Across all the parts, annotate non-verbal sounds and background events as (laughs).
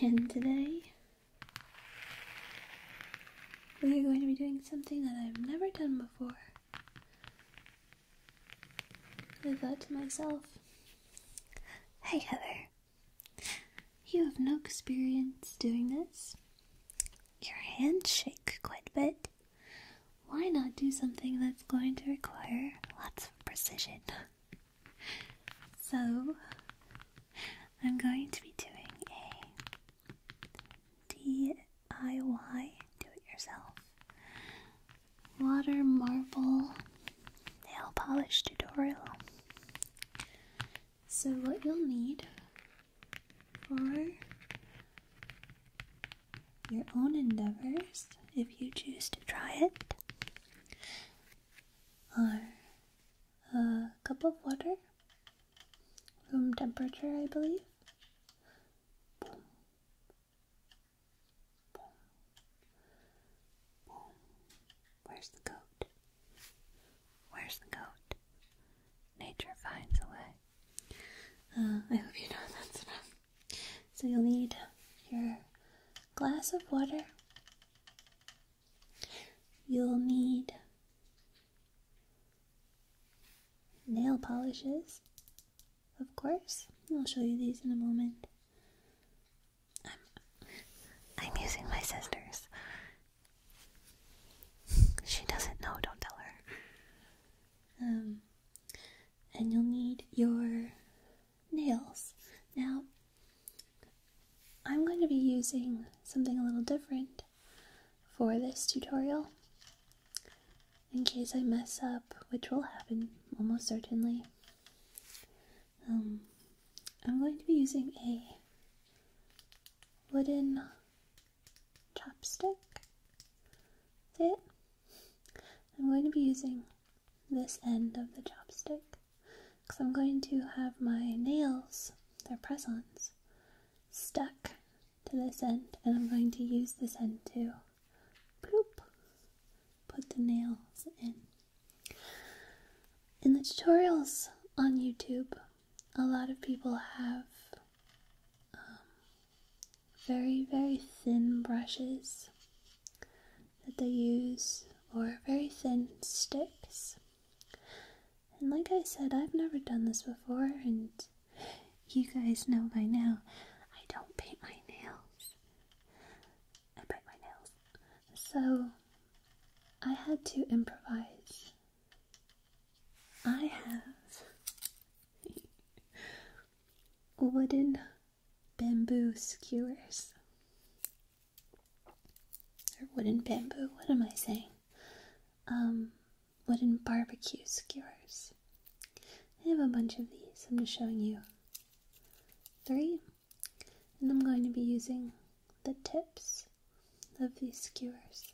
And today, we are going to be doing something that I've never done before. I thought to myself, hey Heather, you have no experience doing this. Your hands shake quite a bit. Why not do something that's going to require lots of precision? So, I'm going to be doing a DIY do it yourself water marble nail polish tutorial. So, what you'll need for your own endeavors, if you choose to try it, are a cup of water, room temperature, I believe. Boom. Boom. Boom. Where's the goat? Where's the goat? Nature finds a way. Uh, I hope you know (laughs) that's enough. So you'll need your glass of water You'll need nail polishes, of course. I'll show you these in a moment. I'm, using my sister's. She doesn't know, don't tell her. Um, and you'll need your nails. Now, I'm going to be using something a little different for this tutorial in case I mess up, which will happen almost certainly. Um, I'm going to be using a wooden chopstick. That's it. I'm going to be using this end of the chopstick because I'm going to have my nails, their press ons, stuck to this end, and I'm going to use this end to bloop, put the nails in. In the tutorials on YouTube, a lot of people have um, very, very thin brushes that they use or very thin sticks. And like I said, I've never done this before, and you guys know by now I don't paint my nails. I bite my nails. So I had to improvise. I have (laughs) wooden bamboo skewers. Or wooden bamboo, what am I saying? Um, wooden barbecue skewers. I have a bunch of these. I'm just showing you three. And I'm going to be using the tips of these skewers.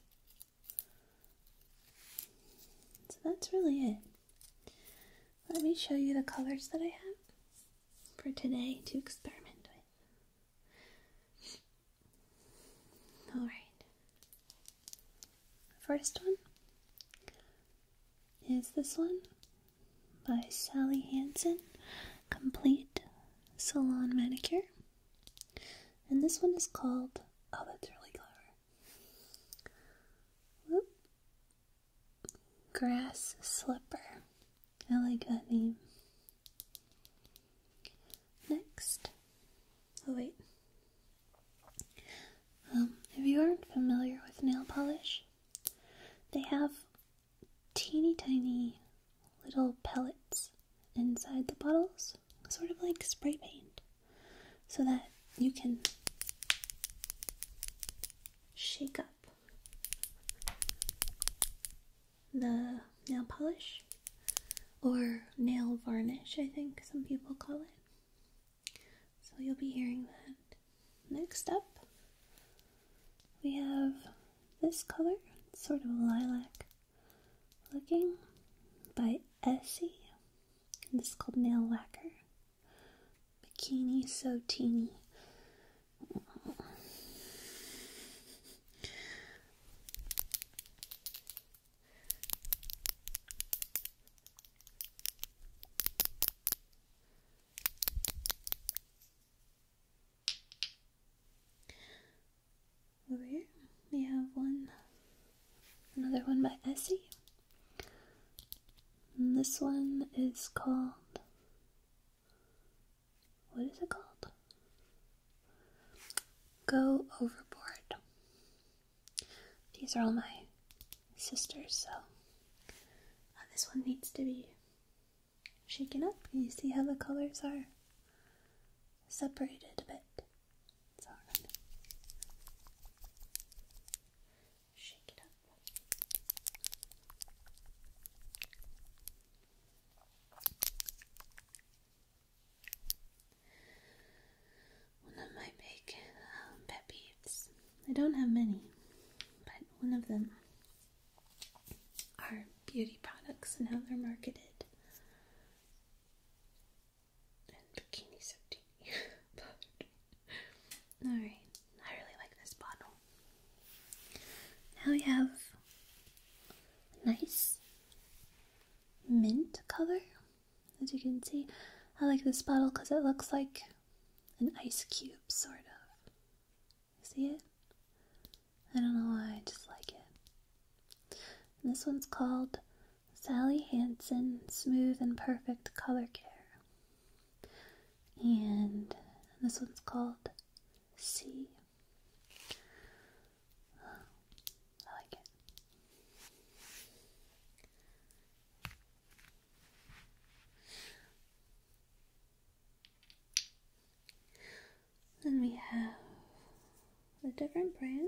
So that's really it. Let me show you the colors that I have for today to experiment with. All right. First one is this one by Sally Hansen, Complete Salon Manicure. And this one is called, oh, that's really clever. Grass Slipper. I like that name. Next. Oh, wait. Um, if you aren't familiar with nail polish, they have teeny tiny little pellets inside the bottles, sort of like spray paint, so that you can shake up the nail polish or nail varnish, I think some people call it. So you'll be hearing that. Next up, we have this color, sort of lilac looking by Essie. And this is called Nail Lacquer bikini so teeny. Over here we have one, another one by Essie. this one is called what is it called? Go Overboard. These are all my sisters, so uh, this one needs to be shaken up. You see how the colors are separated a bit. So i shake it up. One of my big um, pet peeves. I don't have many, but one of them are beauty products and how they're marketed. And bikinis are teeny, (laughs) Alright, I really like this bottle. Now we have a nice mint color, as you can see. I like this bottle because it looks like an ice cube, sort of. see it? I don't know why, I just like it. this one's called Sally Hansen Smooth and Perfect Color Care. And this one's called C. Oh, like it. Then we have a different brand.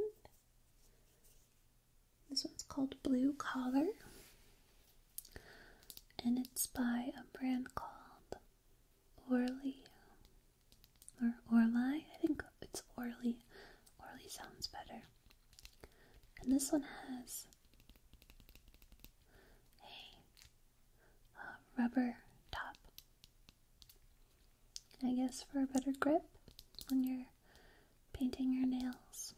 This one's called Blue Collar and it's by a brand called Orly or Orly. I think it's Orly. Orly sounds better. And this one has a rubber top. I guess for a better grip when you're painting your nails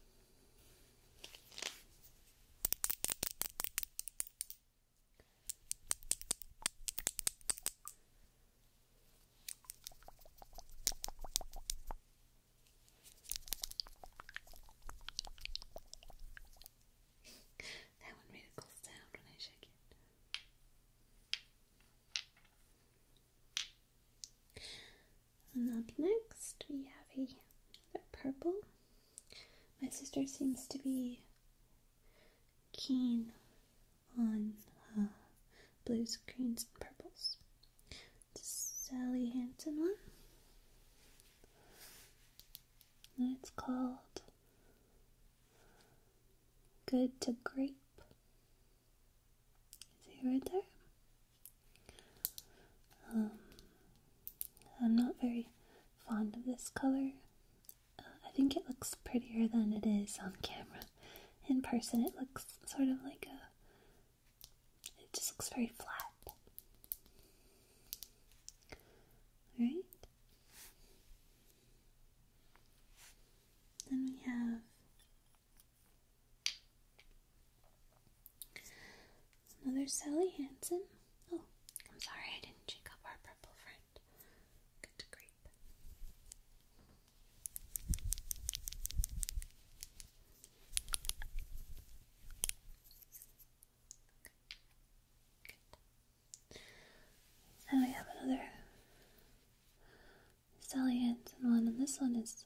that one really cool sound when I shake it. And up next, we have a purple my sister seems to be keen on uh, blues, greens, and purples. It's a Sally Hansen one. And it's called Good to Grape. See right there? Um, I'm not very fond of this color. Uh, I think it looks prettier than it is on camera. In person, it looks sort of like a. It just looks very flat. Alright. Then we have Another Sally Hansen. Oh, I'm sorry I didn't check up our purple friend. Good to grape. Good. we have another Sally Hansen one, and this one is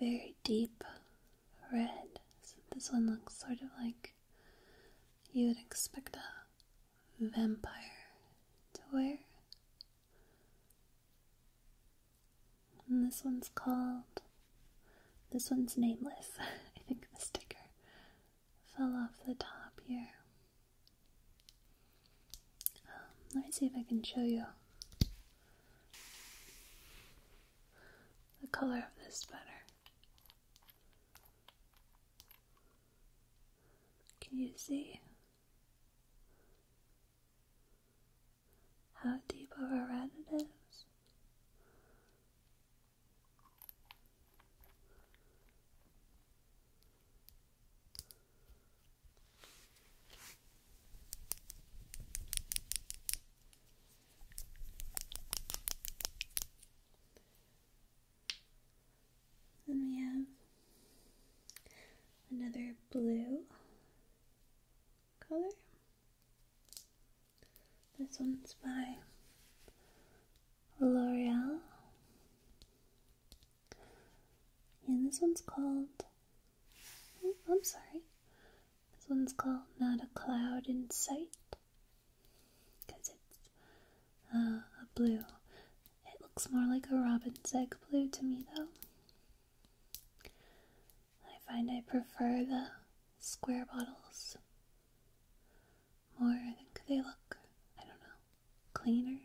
very deep red. this one looks sort of like you would expect a vampire to wear. And this one's called. This one's nameless. (laughs) I think the sticker fell off the top here. Um, let me see if I can show you the color of this better. Can you see how deep of a red it is? Then we have another blue color. This one's by L'Oreal. And this one's called, oh, I'm sorry, this one's called Not a Cloud in Sight because it's uh, a blue. It looks more like a robin's egg blue to me though. I find I prefer the square bottles more. I think they look, I don't know, cleaner.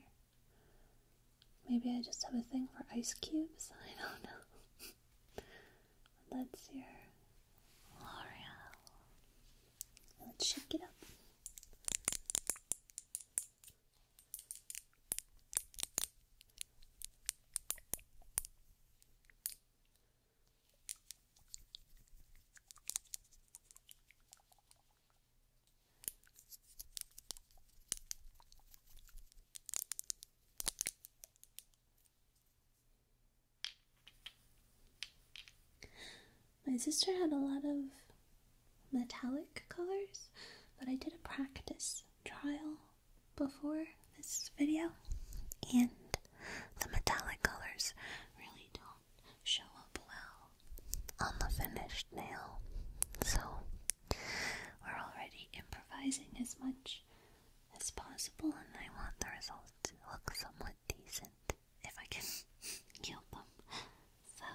Maybe I just have a thing for ice cubes. (laughs) I don't know. That's your L'Oreal. Let's shake it up. My sister had a lot of metallic colors, but I did a practice trial before this video, and the metallic colors really don't show up well on the finished nail. So we're already improvising as much as possible, and I want the results to look somewhat decent if I can (laughs) kill them. So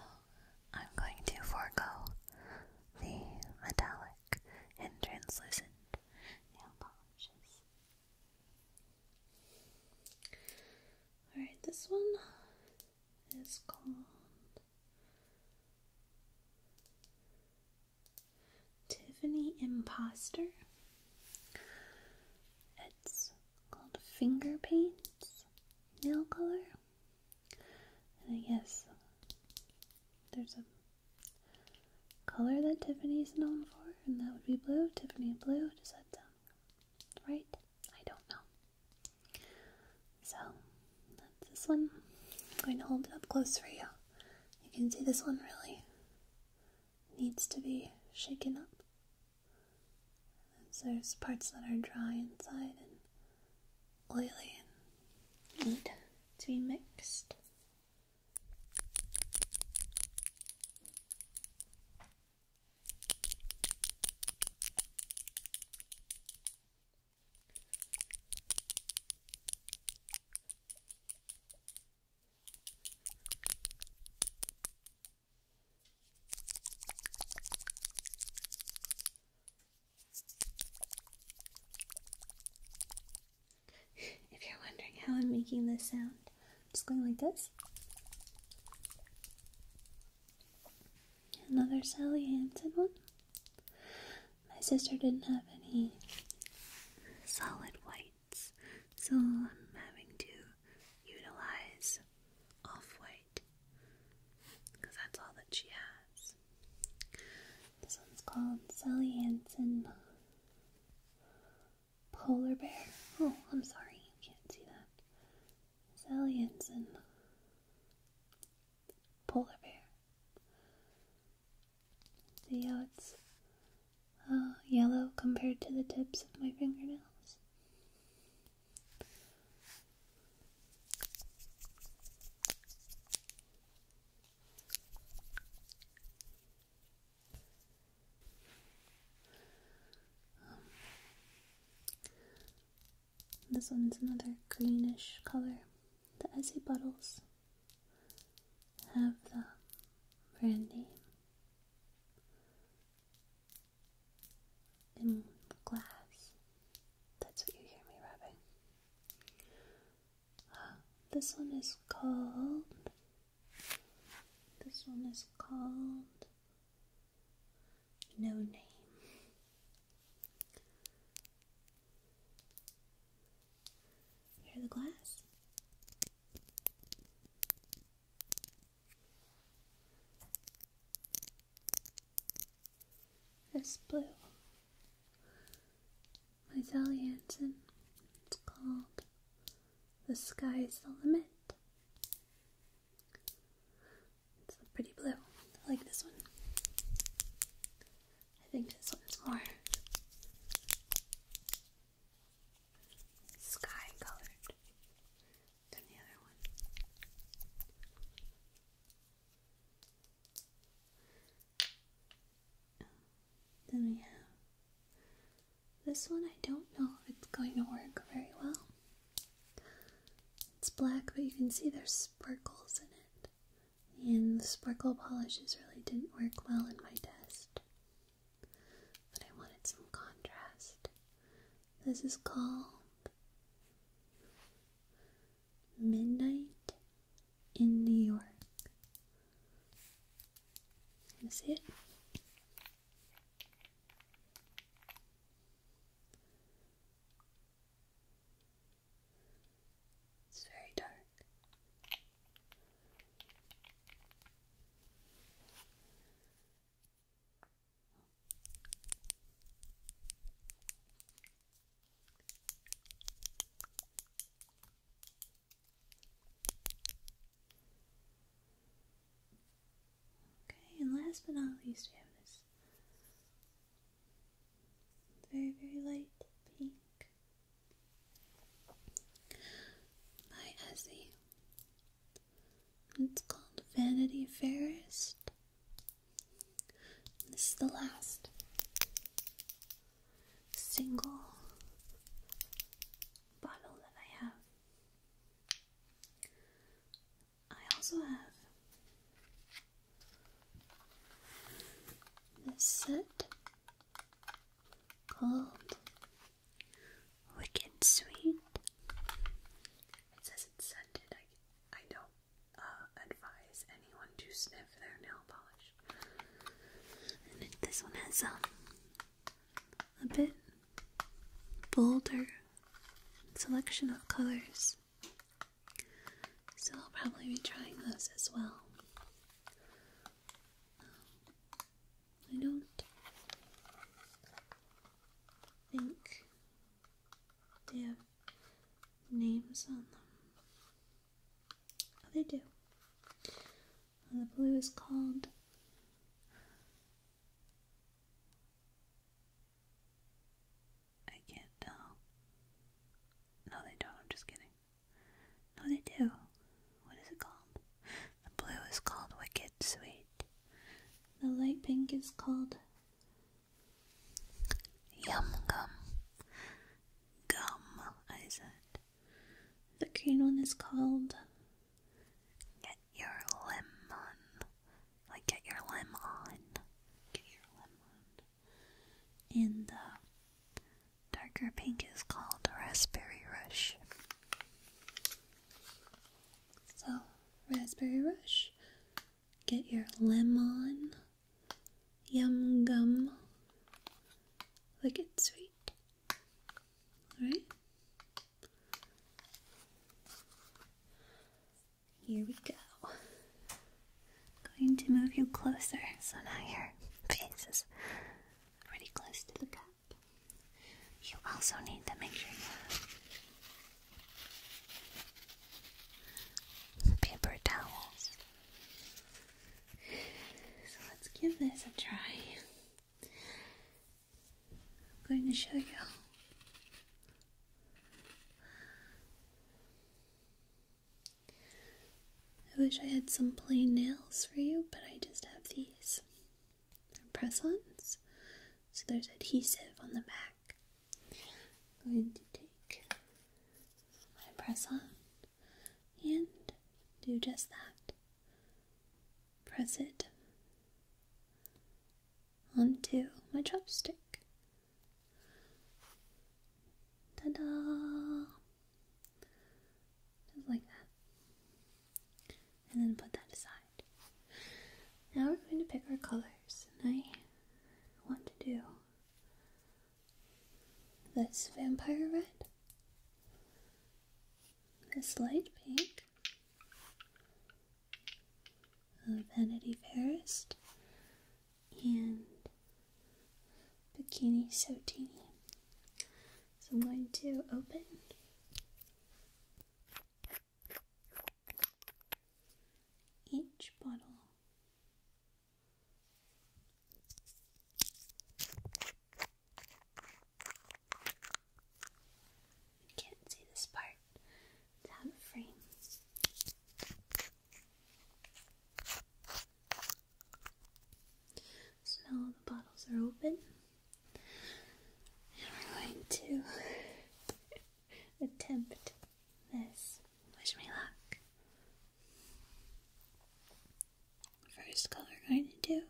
I'm going to forego the metallic and translucent nail polishes. Alright, this one is called Tiffany Imposter. It's called Finger Paints Nail Color. And I guess there's a color that Tiffany's known for, and that would be blue. Tiffany Blue, just that sound right? I don't know. So, that's this one. I'm going to hold it up close for you. You can see this one really needs to be shaken up. So there's parts that are dry inside and oily and need to be mixed. If you're wondering how I'm making this sound, I'm just going like this. Another Sally Hansen one. My sister didn't have any solid white so I'm having to utilize off white because that's all that she has. This one's called Sally Hansen Polar Bear. Oh, I'm sorry, you can't see that. Sally Hansen Polar Bear. See how it's uh, yellow compared to the tips of my fingernails. Um, this one's another greenish color. The Essie bottles have the brand name in glass. That's what you hear me rubbing. Uh, this one is called. This one is called No Name. Here's the glass. This blue My Sally Hansen. It's called The Sky's the Limit. It's a pretty blue. I like this one. I think this one's more sky colored than the other one. Um, then we have this one. I don't know if it's going to work very well. It's black, but you can see there's sparkles in it. And the sparkle polishes really didn't work well in my test but I wanted some contrast. This is called Midnight in New York. Can you see it? It's very dark. Okay, and last but not least, we have this very, very light pink by Essie. It's called Vanity Fairest. This is the last single bottle that I have. I also have this set called Wicked sweet. It says it's scented. I, I don't uh, advise anyone to sniff their nail polish. And it, this one has um, a bit bolder selection of colors. So I'll probably be trying those as well. Um, I don't think they have names on them. Oh, they do. the blue is called I can't tell. No, they don't. I'm just kidding. No, they do what is it called? The blue is called Wicked Sweet. The light pink is called Yum Gum. Gum, I said. The green one is called Get Your Lemon. Like, get your lemon on. Get your lemon. And the darker pink is called Raspberry Rush. So, Raspberry Rush. Get your lemon, yum gum, wicked sweet. Alright? Here we go. Going to move you closer so now your faces pretty close to the cup. You also need to make sure you have paper towels. So let's give this a try. I'm going to show you. I wish I had some plain nails for you, but I just have these press ons. So there's adhesive on the back. I'm going to take my press on and do just that. Press it onto my chopstick. Ta da! Just like that. And then put that aside. Now we're going to pick our colors. And I want to do this vampire red, this light pink, Vanity Fairest, and Bikini So Teeny. So I'm going to open. Each bottle. I can't see this part. It's frame. So now the bottles are open. And we're going to attempt this. Wish me luck. First color we're going to do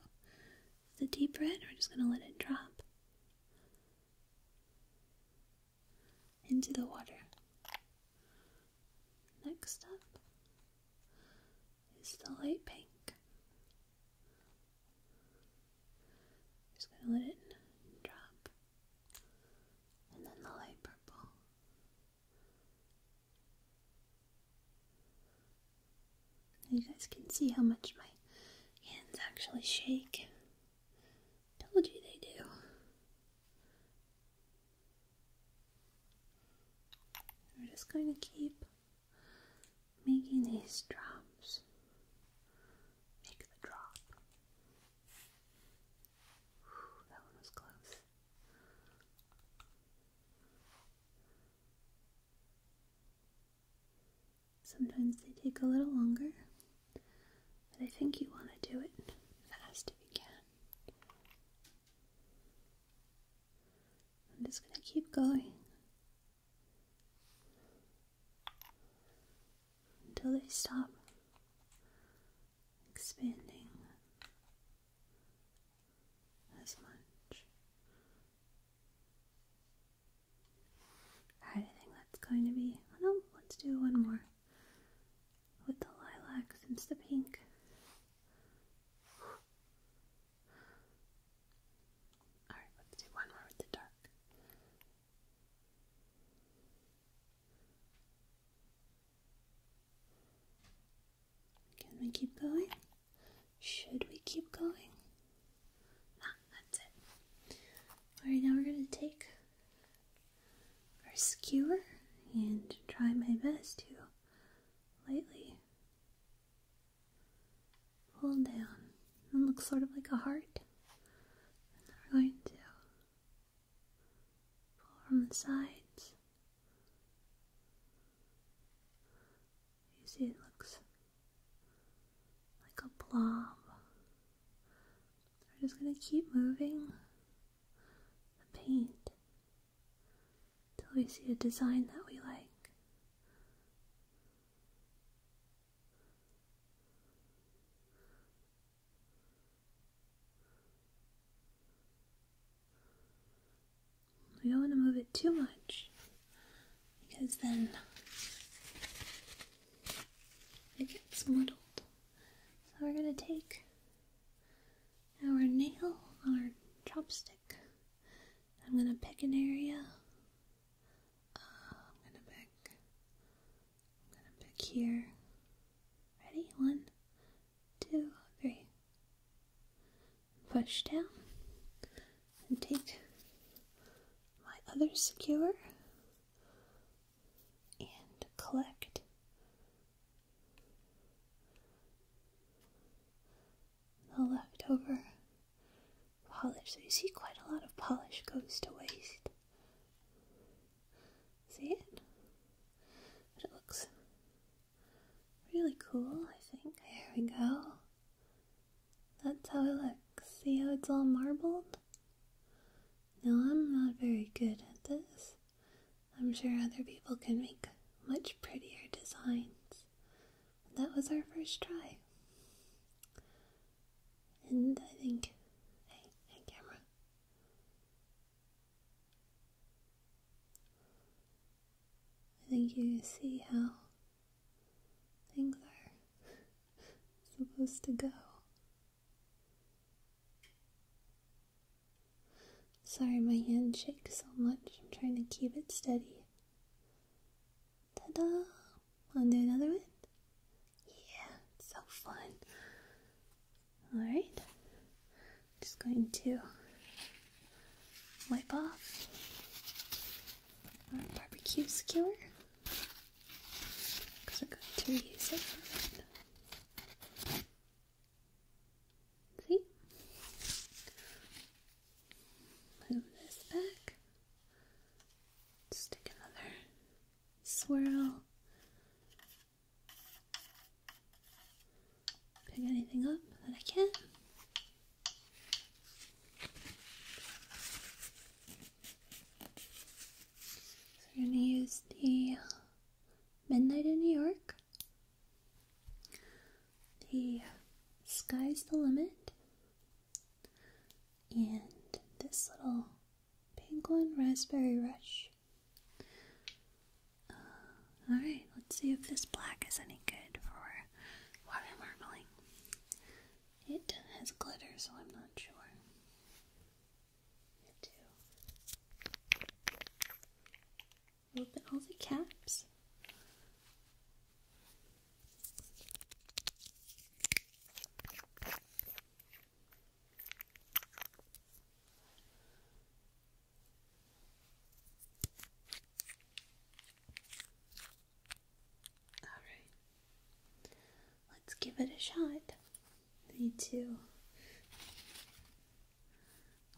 the deep red. We're just going to let it drop into the water. Next up is the light pink. Just gonna let it drop. And then the light purple. You guys can see how much my hands actually shake. Told you they do. We're just going to keep making these drops. Make the drop. that one was close. Sometimes they take a little longer, but I think you want to do it fast if you can. I'm just going to keep going until they stop expanding as much. I think that's going to be. Oh let's do one more with the lilac since the pink. Alright, let's do one more with the dark. Can we keep going? Should we keep going? Nah, that's it. Alright, now we're going to take our skewer and try my best to lightly pull down and looks sort of like a heart. And we're going to pull from the sides. You see, it looks like a blob. We're just going to keep moving the paint till we see a design that we like. We don't want to move it too much because then it gets muddled. So we're going to take our nail, our chopstick. I'm gonna pick an area. Uh, I'm gonna pick. I'm gonna pick here. Ready? One, two, three. Push down and take my other skewer and collect the leftover polish. So you see quite a lot of polish goes to waste. See it? But it looks really cool, I think. There we go. That's how it looks. See how it's all marbled? No, I'm not very good at this. I'm sure other people can make much prettier designs. That was our first try. And I think, hey, camera. I think you see how things are (laughs) supposed to go. Sorry, my hand shakes so much. I'm trying to keep it steady. Ta-da! want do another one? Yeah, so fun. Alright. Just going to wipe off our barbecue skewer. Because we're going to use it. See? Move this back. Stick another swirl. Pick anything up that I can. we're going to use the Midnight in New York the sky's the limit. And this little penguin raspberry rush. Uh, alright, let's see if this black is any good for water marbling. It has glitter, so I'm not sure. Too. Open all the caps. All right, let's give it a shot. We need to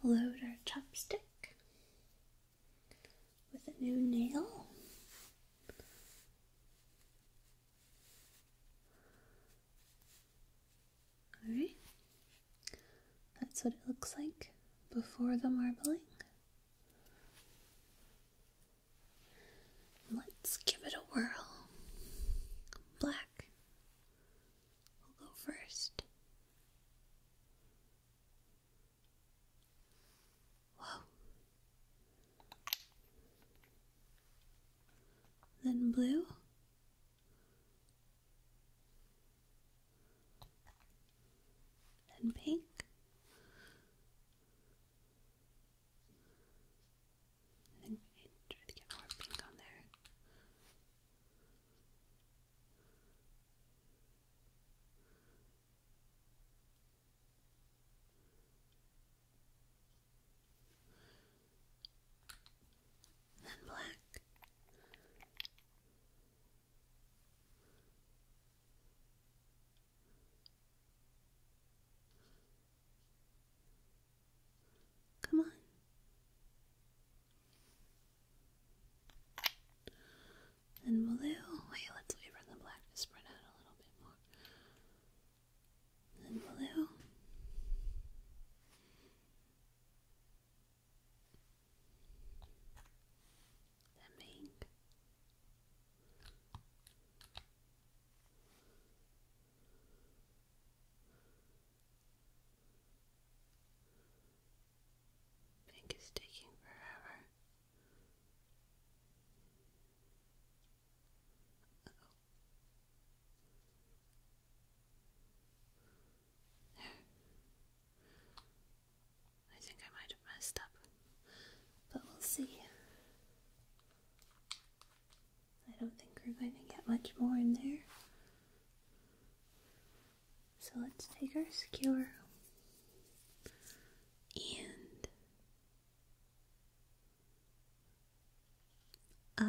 load our chopstick with a new nail. Alright, that's what it looks like before the marbling. Let's give it a whirl. Black will go first. Then blue. Then pink. I try to get more pink on there. Then black. Come on and blue. Wait, let's leave her the black to spread out a little bit more. And blue. Then pink. Pink is taking forever. I think I might have messed up, but we'll see. I don't think we're going to get much more in there. So let's take our skewer and uh (laughs)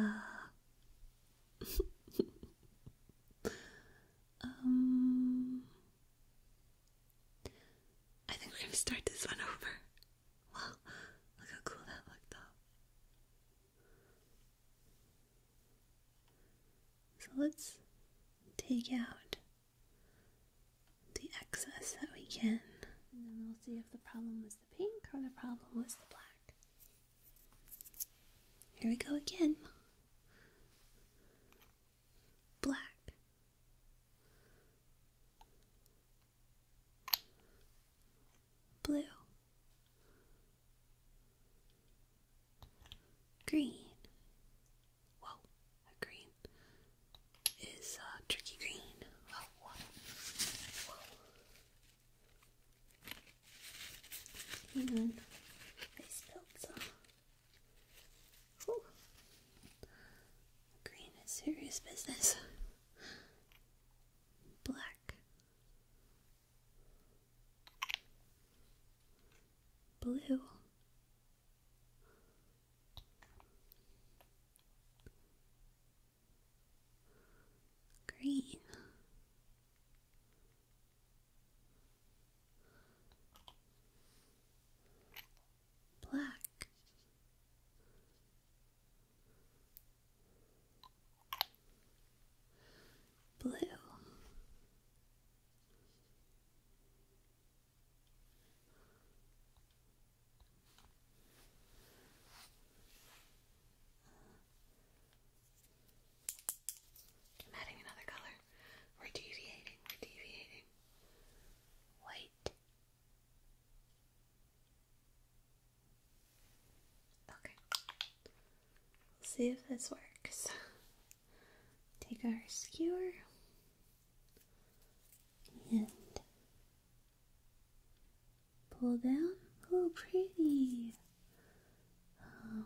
um I think we're gonna start this one over. Wow, look how cool that looked up. So let's take out the excess that we can. And then we'll see if the problem was the pink or the problem was the black. Here we go again. Black. Blue. Green. Whoa green is uh, tricky green. Oh, Whoa, Green is serious business. Black. Blue. Green. Black. Blue. I'm adding another color. We're deviating, deviating. White. Okay. We'll see if this works. (laughs) take our skewer and pull down. Oh, pretty. Um,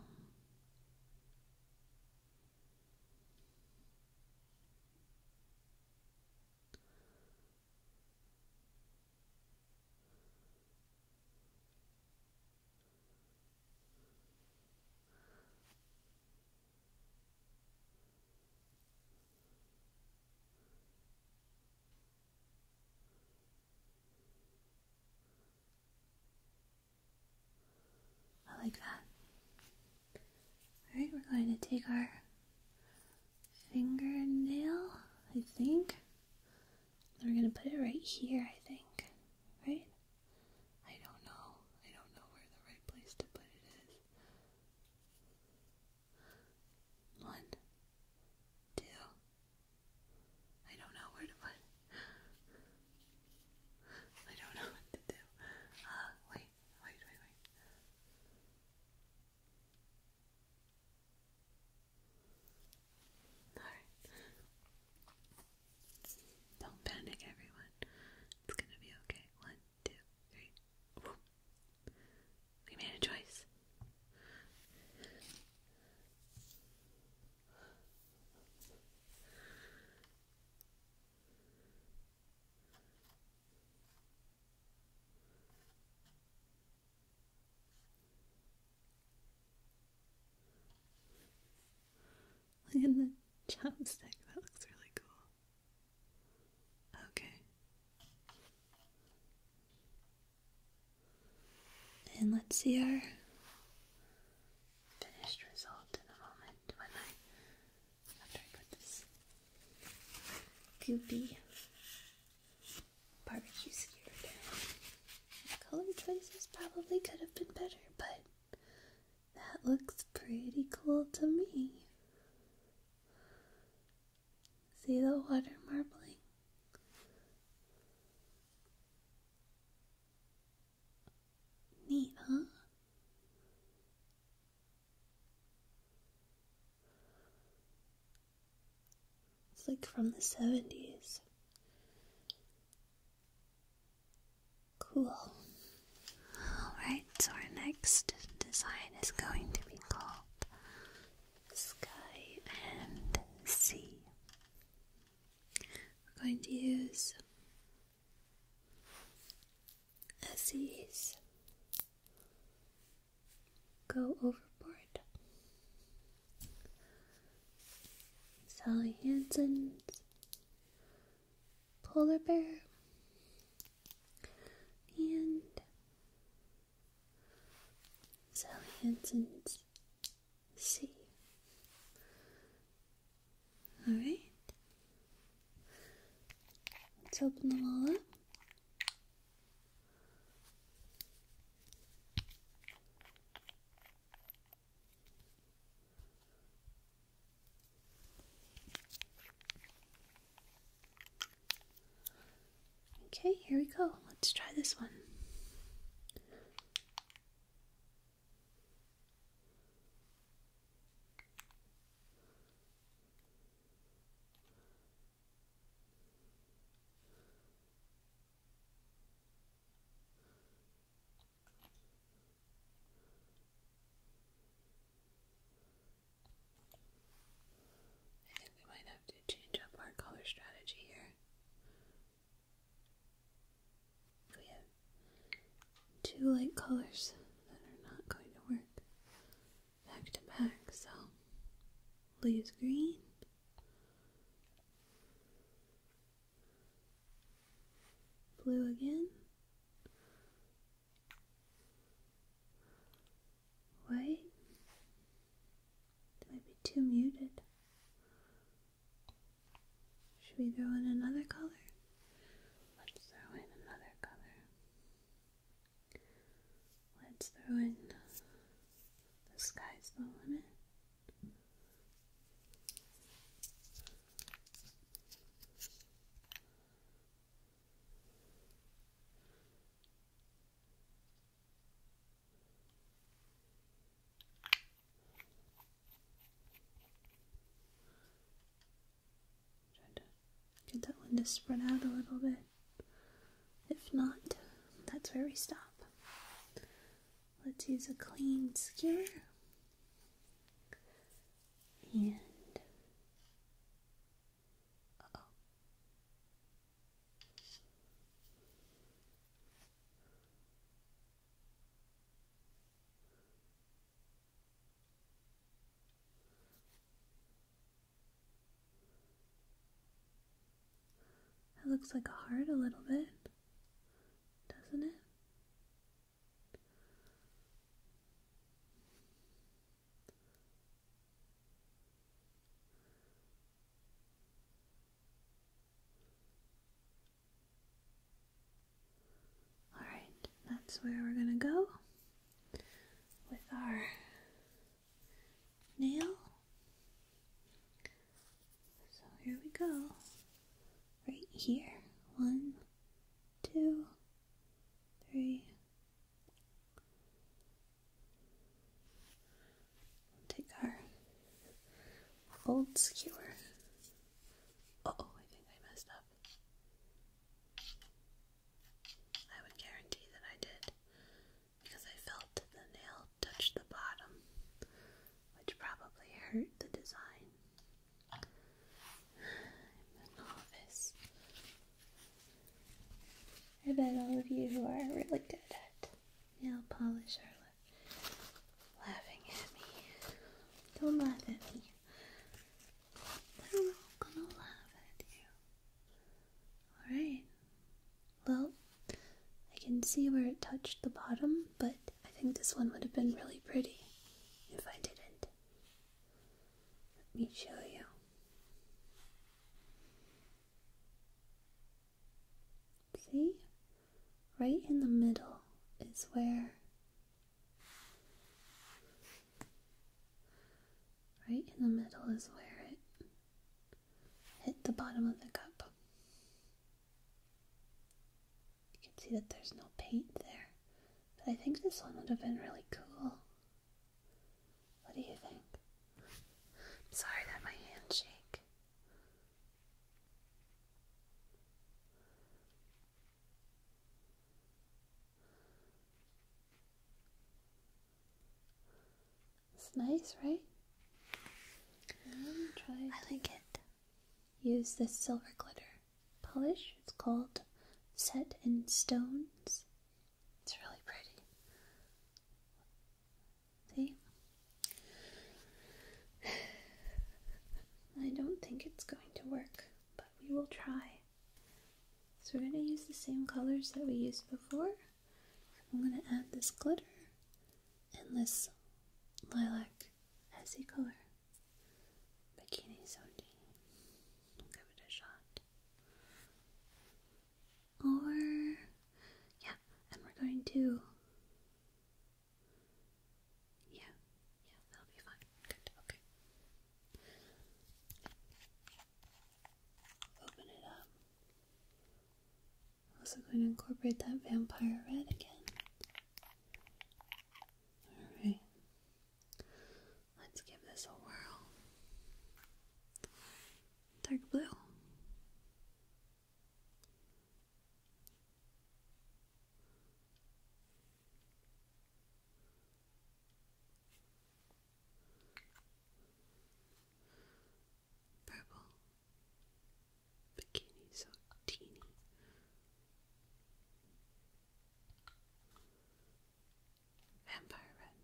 I like that. Alright, we're going to take our fingernail, I think. we're going to put it right here, I think. Right? I don't know. I don't know where the right place to put it is. One, two. I don't know where to put (laughs) I don't know what to do. Uh, wait, wait, wait, wait. Alright. Don't panic, everyone. It's gonna be okay. One, two, three. We made a choice. Look at the chopstick. That looks really cool. Okay. And let's see our finished result in a moment when I after I put this goopy barbecue skewer down. color choices probably could have been better, but that looks pretty cool to me. See the water marbling? Neat, huh? It's like from the 70s. Cool. Alright, so our next design is going to be called Sky and Sea. We're going to use a seas. Go overboard. Sally Hansen's polar bear and Sally Hansen's C. Alright. Let's open them all up. Okay, here we go. Let's try this one. I think we might have to change up our color strategy here. We have two light colors that are not going to work back to back, so leaves green. Blue again. White. might be too muted. Should we throw in another color? Let's throw in another color. Let's throw in the sky's the limit get that one to spread out a little bit. If not, that's where we stop. Let's use a clean skewer and looks like a heart a little bit, doesn't it? All right, that's where we're going to go with our nail. So here we go right here. One, take our old skewer. oh, I think I messed up. I would guarantee that I did because I felt the nail touch the bottom, which probably hurt the design. I'm a I bet all of you who are really good at nail polish are laughing at me. Don't laugh at me. I'm not gonna laugh at you. Alright. Well, I can see where it touched the bottom, but I think this one would have been really pretty if I didn't. Let me show you. See? Right in the middle is where. Right in the middle is where it hit the bottom of the cup. You can see that there's no paint there. But I think this one would have been really cool. What do you think? sorry that my hands shake. It's nice, right? I like it use this silver glitter polish. It's called Set in Stones. It's really pretty. See? (sighs) I don't think it's going to work, but we will try. So we're going to use the same colors that we used before. I'm going to add this glitter and this lilac as a color. Bikini Soji. i give it a shot. Or, yeah, and we're going to. Yeah, yeah, that'll be fine. Good, okay. Open it up. also going to incorporate that vampire red again. Alright. Let's give this a whirl. Dark blue. Purple bikini so teeny. Vampire Red.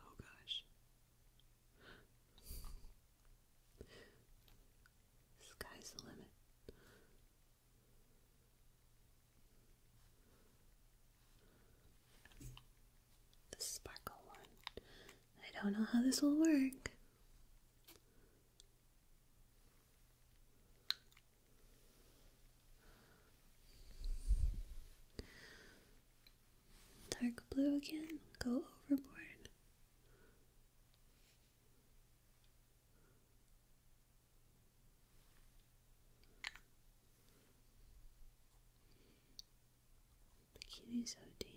Oh gosh. Sky's the limit. The sparkle one. I don't know how this will work. Dark blue again, go overboard. Bikini so teeny.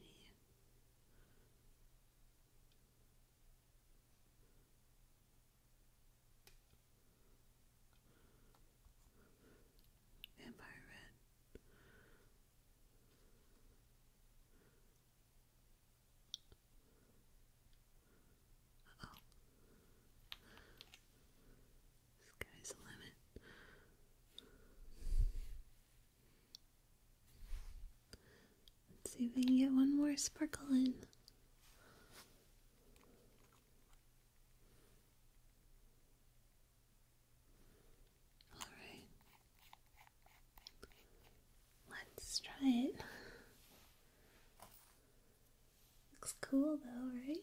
Environment uh oh. Sky's the limit. Let's see if we can get one more sparkle in. All right. Let's try it. Looks cool though, right?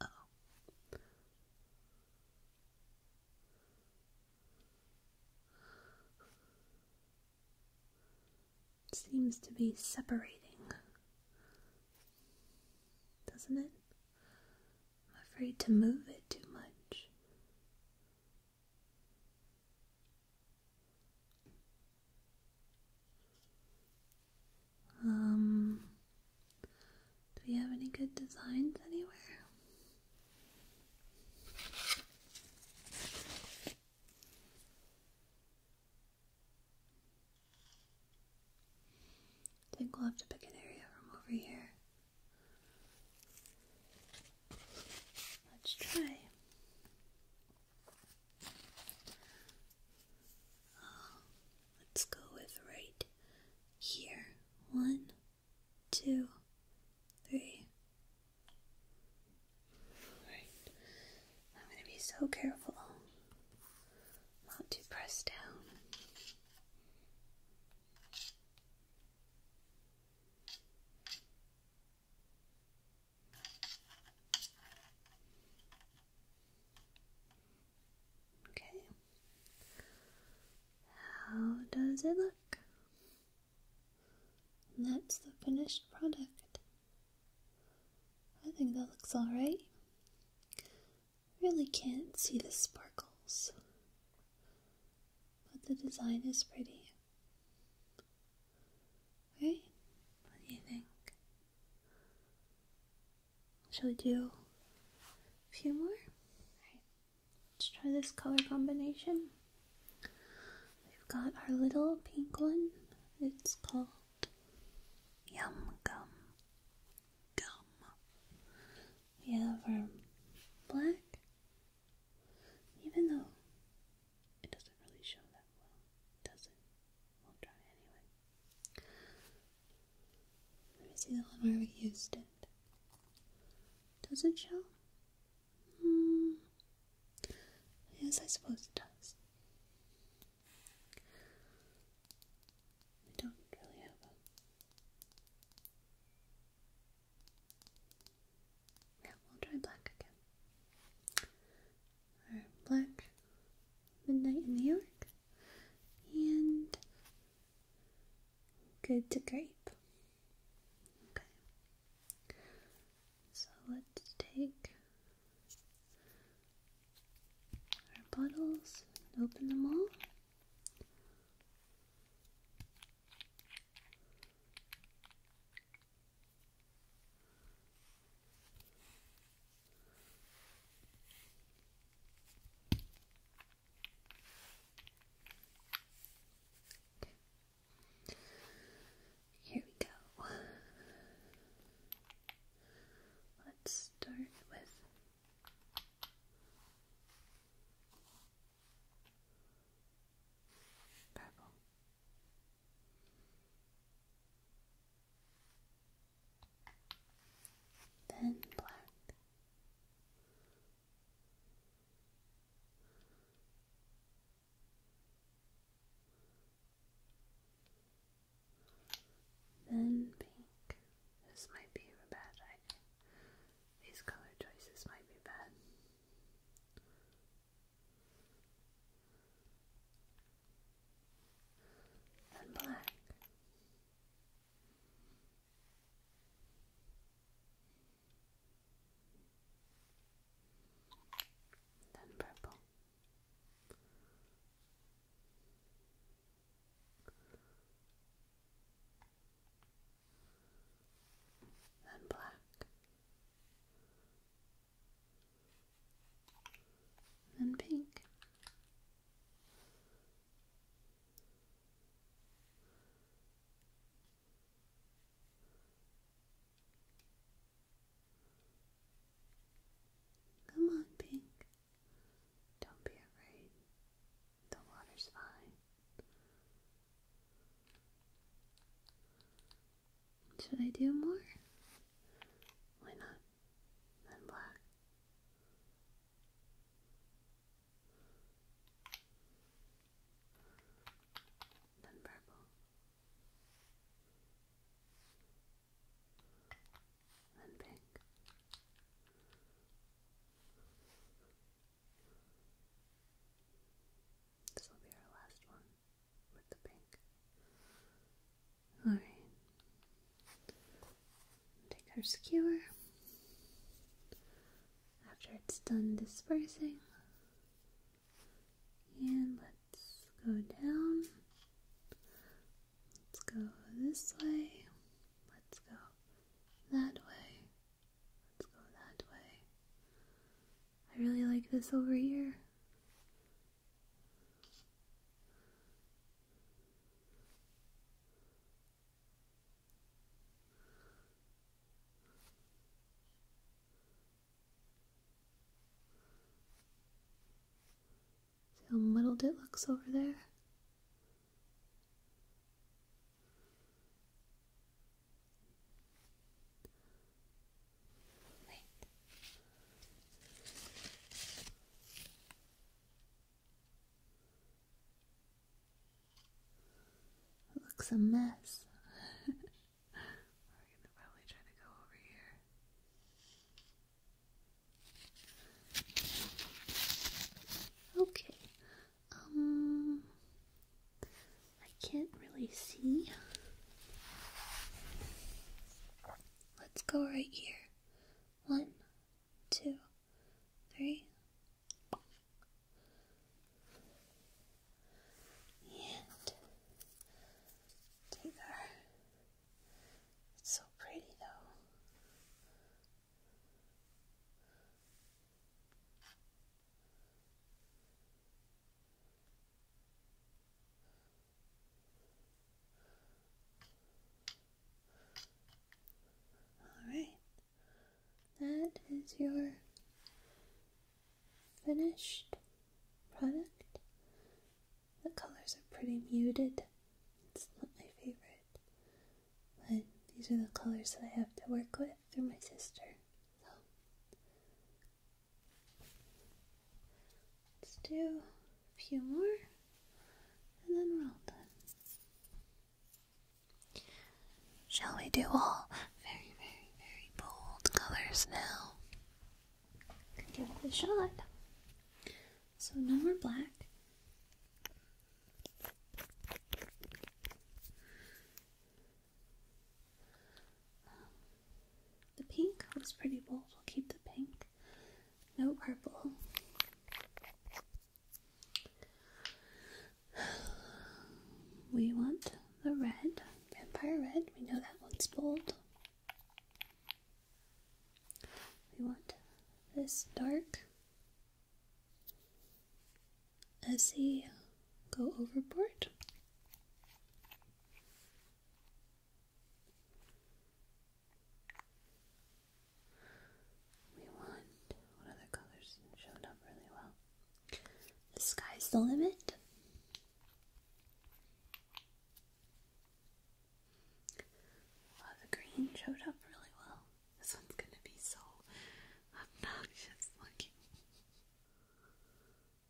Oh. seems to be separating, doesn't it? I'm afraid to move it too much. Um, do we have any good designs anywhere? I think we'll have to pick an area from over here. Let's try let's go with right here. One, two, three. I'm going to be so careful not to press down. Okay. How does it look? That's the finished product. I think that looks alright. Really can't see the sparkles, but the design is pretty. Okay? What do you think? Shall we do a few more? let's try this color combination. We've got our little pink one. It's called Yum Gum. Gum. We have our black. Even though it doesn't really show that well, does it? We'll try anyway. Let me see the one where we used it. Does it show? Hmm. Yes, I suppose it does. I don't really have Yeah, we'll try black again or Black Midnight in New York, and Good to Grape. Okay, so let's take our bottles and open them all. Here we go. Let's start with purple then black, then pink. This might be bad These color choices might be bad and black. Then purple. Then black. And pink. Come on, pink. Don't be afraid. The water's fine. Should I do more? Why not? Then black. Then purple. Then pink. This will be our last one. Alright. Take our skewer. After it's done dispersing. And let's go down. Let's go this way. Let's go that way. Let's go that way. I really like this over here. how muddled it looks over there? looks a mess. (laughs) We're gonna probably try to go over here. Okay. Um I can't really see. Let's go right here. One, two, three. And take It's so pretty though. Alright, that is your finished product. The colors are pretty muted, it's not my favorite, but these are the colors that I have to work with through my sister. Let's do a few more and then we're all done. Shall we do all very, very, very bold colors now? Give it a shot. So, no more black. The pink was pretty bold. We'll keep the pink. No purple. We want the red, vampire red. We know that one's bold. We want this dark as they go overboard. We want what other colors showed up really well. The sky's the limit. the green showed up really well. This one's gonna be so obnoxious looking and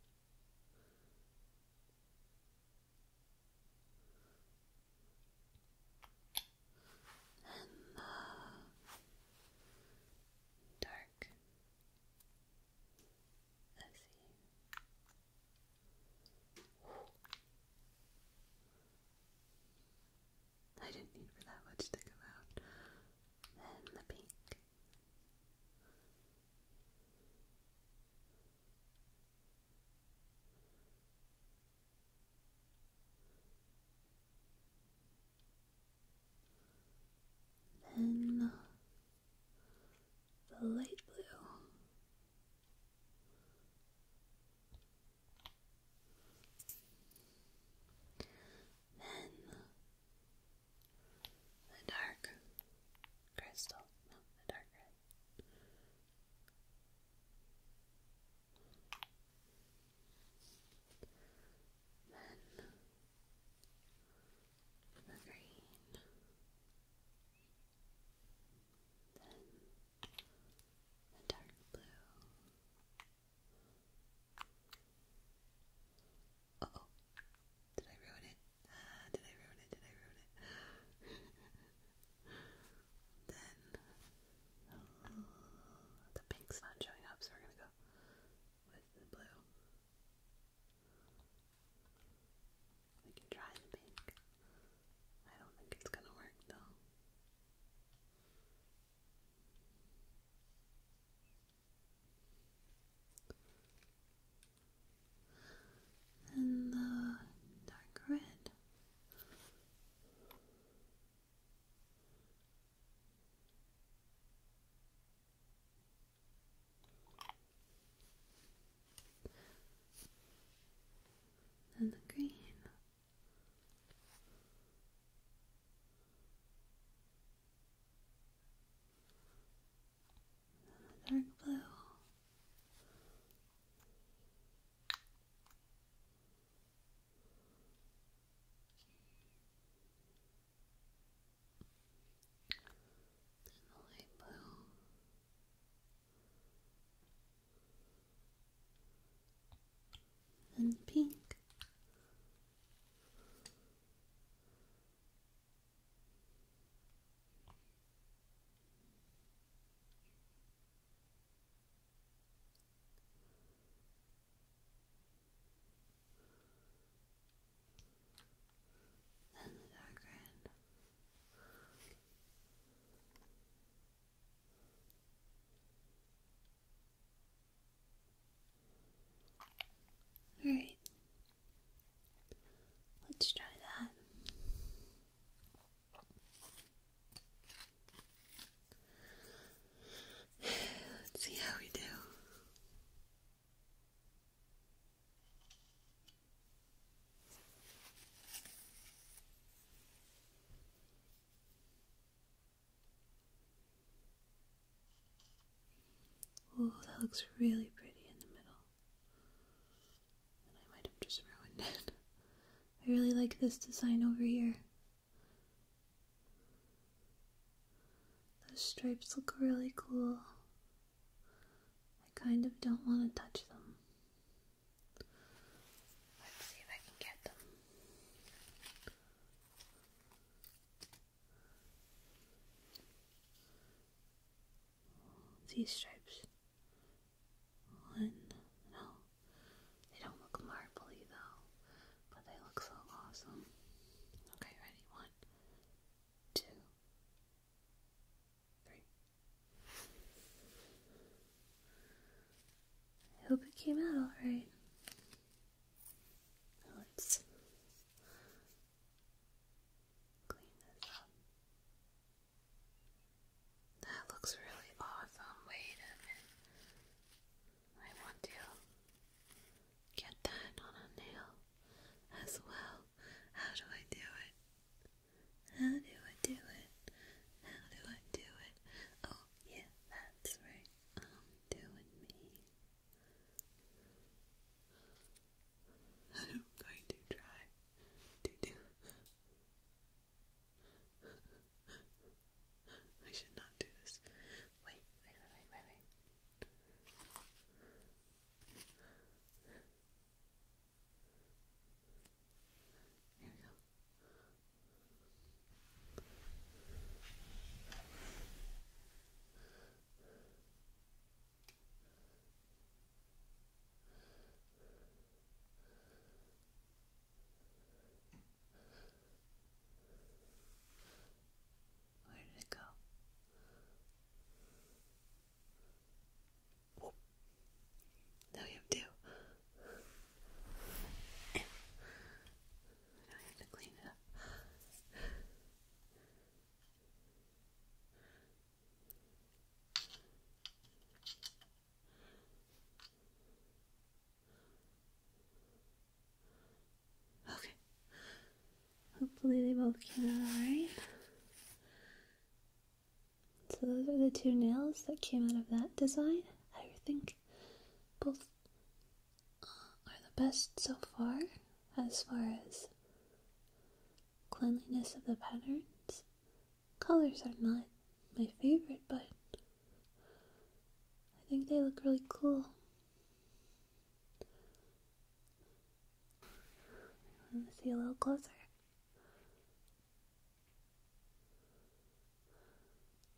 the dark I didn't need for that much to come out. Then the pink. Then the light blue. Then the dark crystal. No, the dark red. Then the green, then the dark blue. Uh oh, Ah, did I ruin it? did I ruin it? Did I ruin it? then the pink's not showing up, so we're gonna go with the blue. We can try the pink. I don't think it's gonna work though and the dark red. And the green dark blue. And light blue. And pink. Then the dark red. All right, Let's try that. Let's see how we do. Oh, that looks really pretty in the middle. I might have just ruined it. (laughs) I really like this design over here. Those stripes look really cool. I kind of don't want to touch them. Let's see if I can get them these stripes. One, no, they don't look marbly though, but they look so awesome. Okay, ready? One, two, three. I hope it came out alright. Let's clean this up. That looks really awesome. Wait a minute. I want to get that on a nail as well. How do I do it? How do I do it? How do I do it? Oh, yeah, that's right. I'm um, doing me. And I'm going to try to do. I should not do this. wait, wait, wait, wait. Here we go. Where did it go? Whoop. Now you have now I have to clean it up. Okay. Hopefully they both came out So those are the two nails that came out of that design. I think both uh, are the best so far as far as cleanliness of the patterns. Colors are not my favorite, but I think they look really cool. want to see a little closer.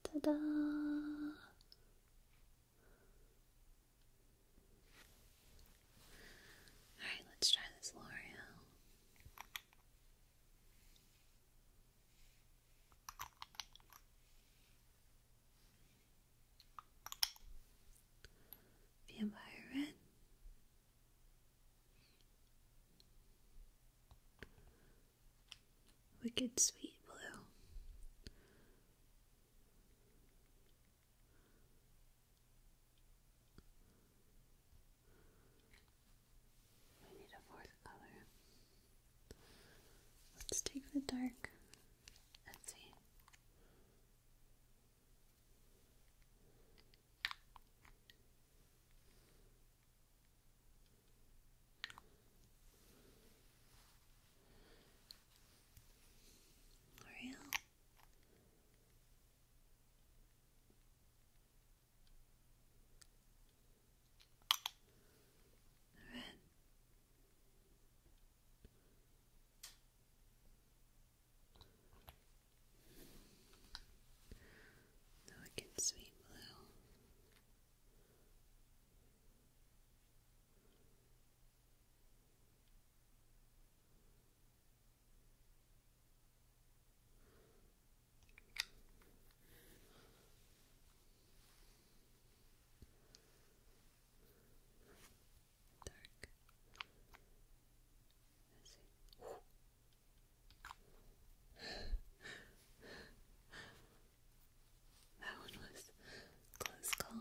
Ta-da! Alright, let's try this L'Oreal. Vampire Red. Wicked Sweet Blue. We need a fourth color. Let's take the dark. Let's see. L'Oreal Red. The wicked sweet blue. Dark. let (laughs) that one was close call.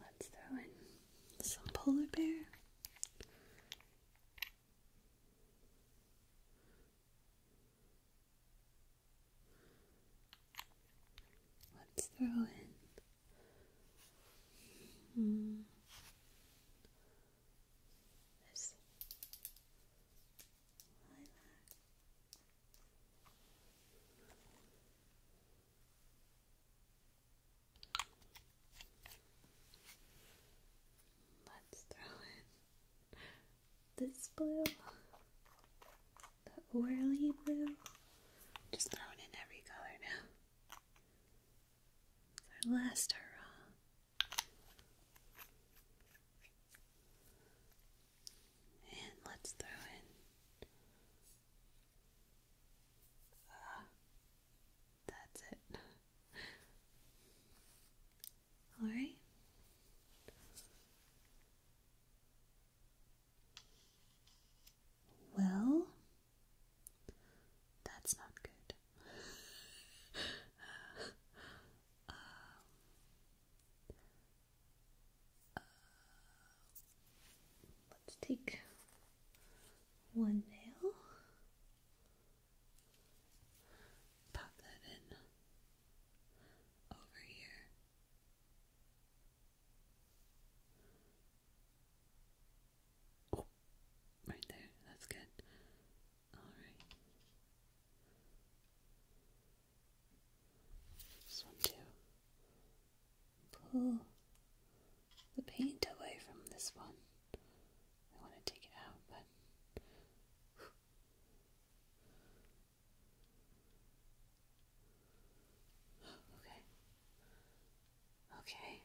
Let's throw in some polar bear. Let's throw in. Hmm, this lilac. Let's throw in this blue, the oily blue. Just throwing in every color now. our last hurrah. And let's throw in. Uh, that's it. Alright. Well, that's not good. (laughs) Uh, um, let's take one nail, pop that in over here. Oh, right there, that's good. All right. Just want to pull the paint away from this one. I want to take it out, but. (sighs) Okay. Okay.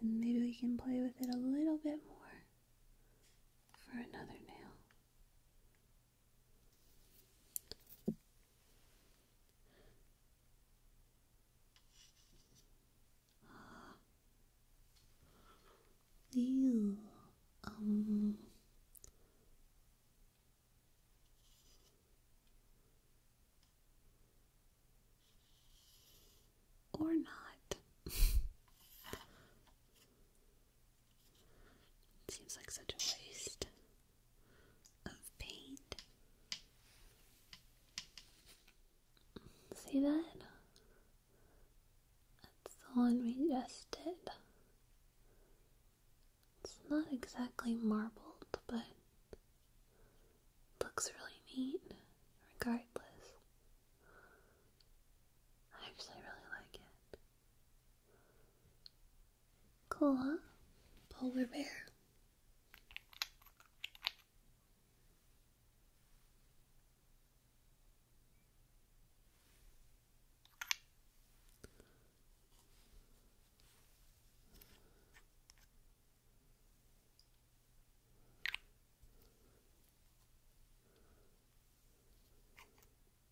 Then maybe we can play with it a little bit more for another nail. Ew. Um. Or not. (laughs) Seems like such a waste of paint. See that? That's the one we just did. It's not exactly marbled, but looks really neat regardless. I actually really like it. Cool. Polar bear.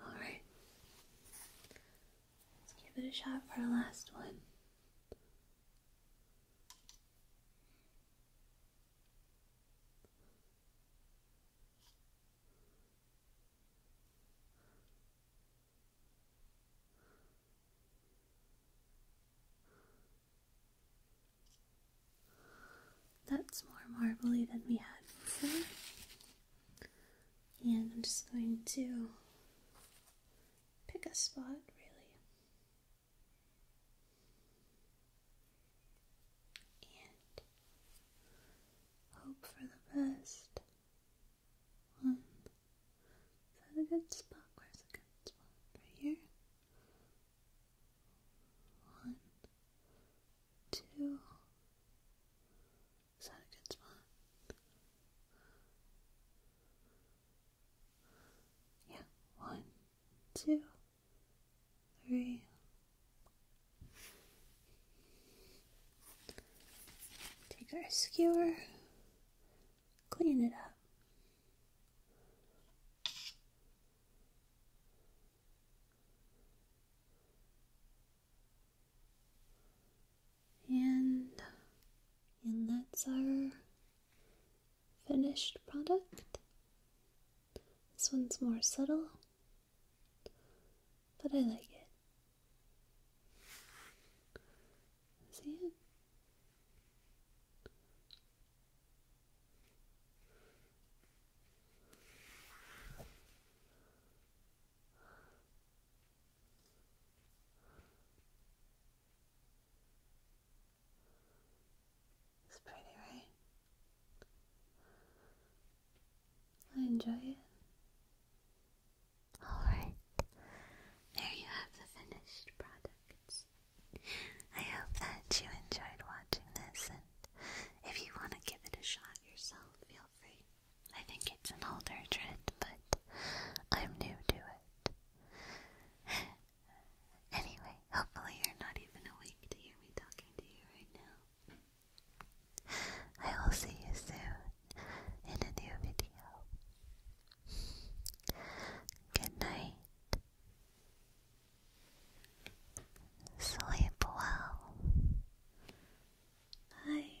All right. Let's give it a shot for our last one. That's more marbly than we had And I'm just going to pick a spot, really and hope for the best. One. Hmm. Is that a good spot? Where's a good spot? Right here. One, two. Is that a good spot? Yeah, one, two. Take our skewer, clean it up. And, and that's our finished product. This one's more subtle, but I like it. See it? It's pretty, right? I enjoy it. Alright, there you have the finished products. I hope that you enjoyed watching this, and if you want to give it a shot yourself, feel free. I think it's an older trend, but I'm new to it. Anyway, hopefully you're not even awake to hear me talking to you right now. I will see you soon in a new video. Good night. Sleep well. Bye.